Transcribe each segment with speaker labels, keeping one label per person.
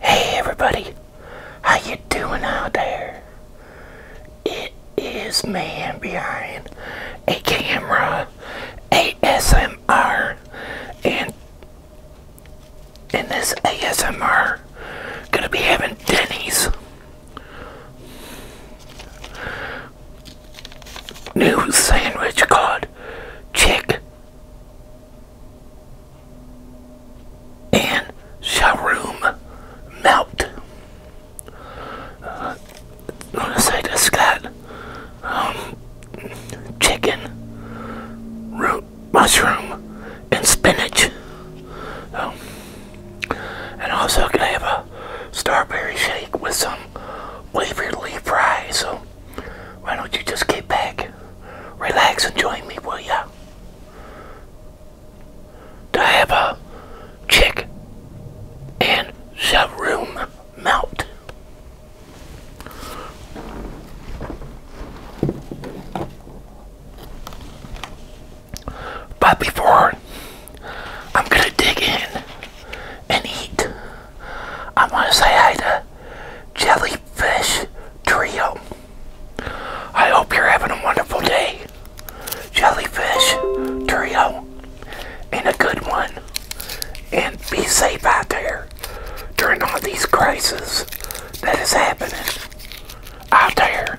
Speaker 1: Hey everybody, how you doing out there? It is man behind a camera, ASMR, and in this ASMR, gonna be having Denny's new sandwich card. Check and Sharoom Melt. Uh, I'm gonna say this got um, chicken, root mushroom, and spinach. Um, and also, gonna have a strawberry shake with some wafer leaf fries. So why don't you just get back, relax, and join me, will ya? To have a chick and some room melt. But before I'm gonna dig in and eat. I want to say hi to Jellyfish Trio. I hope you're having a wonderful day, Jellyfish Trio, and a good one. And be safe out there during all these crises that is happening out there.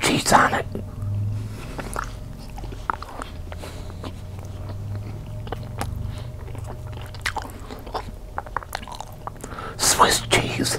Speaker 1: cheese on it. Swiss cheese.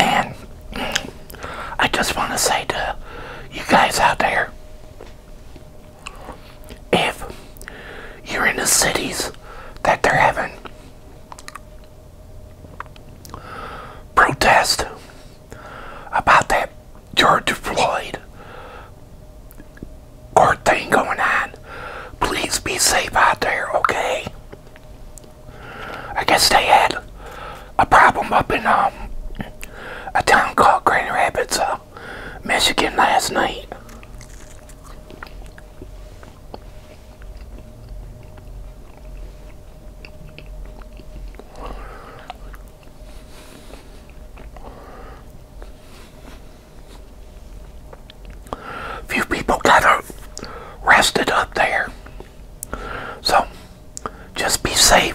Speaker 1: And I just want to say to you guys out there if you're in the cities that they're having protest about that George Floyd court thing going on. Please be safe out there, okay? I guess they had a problem up in um, a town called Green Rapids. Uh, Michigan last night. Few people got uh, up there. So, just be safe.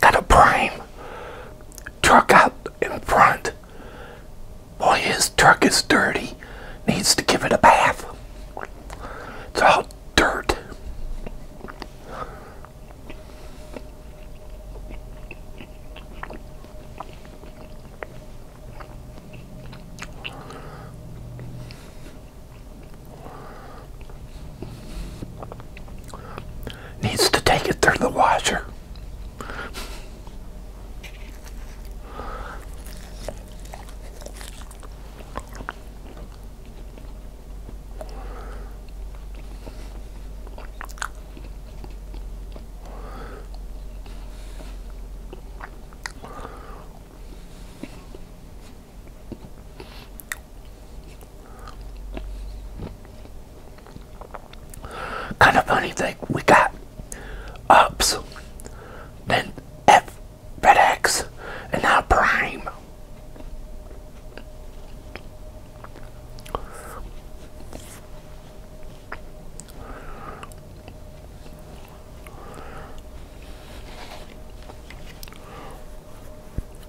Speaker 1: Got a prime truck out in front. Boy, his truck is dirty. Needs to give it a bath. It's all dirt needs to take it through the washer. Kind of funny thing, we got ups, then F FedEx, and now Prime.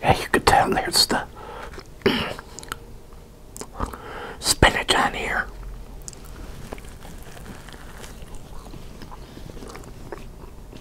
Speaker 1: Yeah, you could tell there's the spinach on here.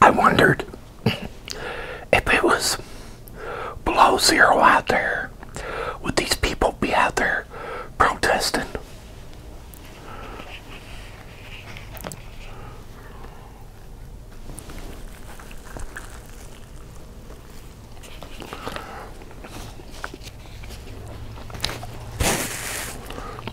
Speaker 1: I wondered if it was below zero out there, would these people be out there protesting?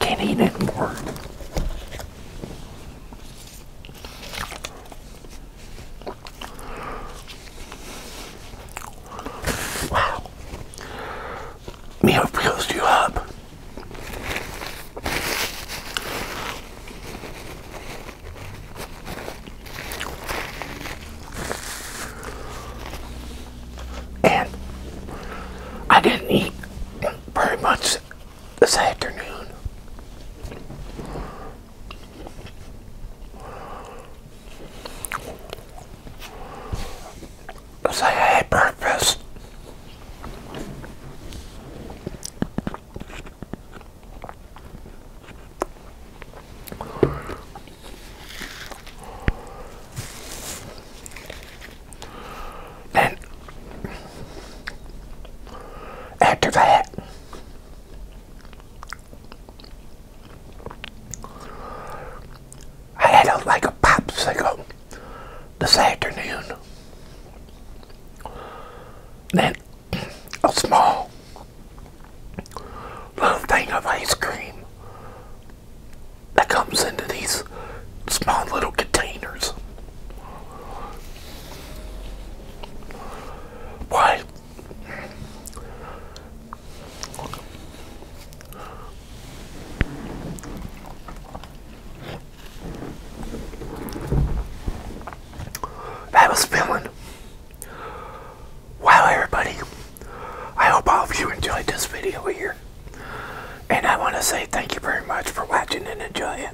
Speaker 1: Can't eat it anymore. Wow. Meal fills you up and I didn't eat very much this afternoon. I had breakfast. Then, after that, I don't like a popsicle this afternoon. Then a small little thing of ice cream that comes into these small little containers. Why? I was feeling Wow, everybody. I hope all of you enjoyed this video here. And I want to say thank you very much for watching and enjoying.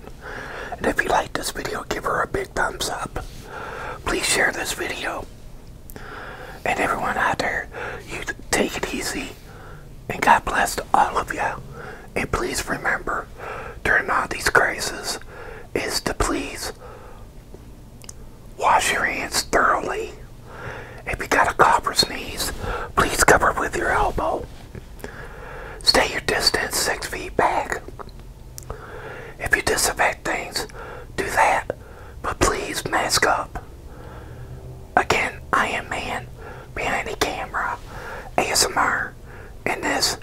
Speaker 1: And if you like this video, give her a big thumbs up. Please share this video. And everyone out there, you take it easy. And God bless all of you. And please remember, during all these crises, is to please Wash your hands thoroughly. If you got a cough or sneeze, please cover with your elbow. Stay your distance six feet back. If you disinfect things, do that, but please mask up. Again, I am man behind the camera, ASMR, and this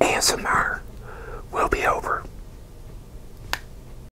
Speaker 1: ASMR will be over.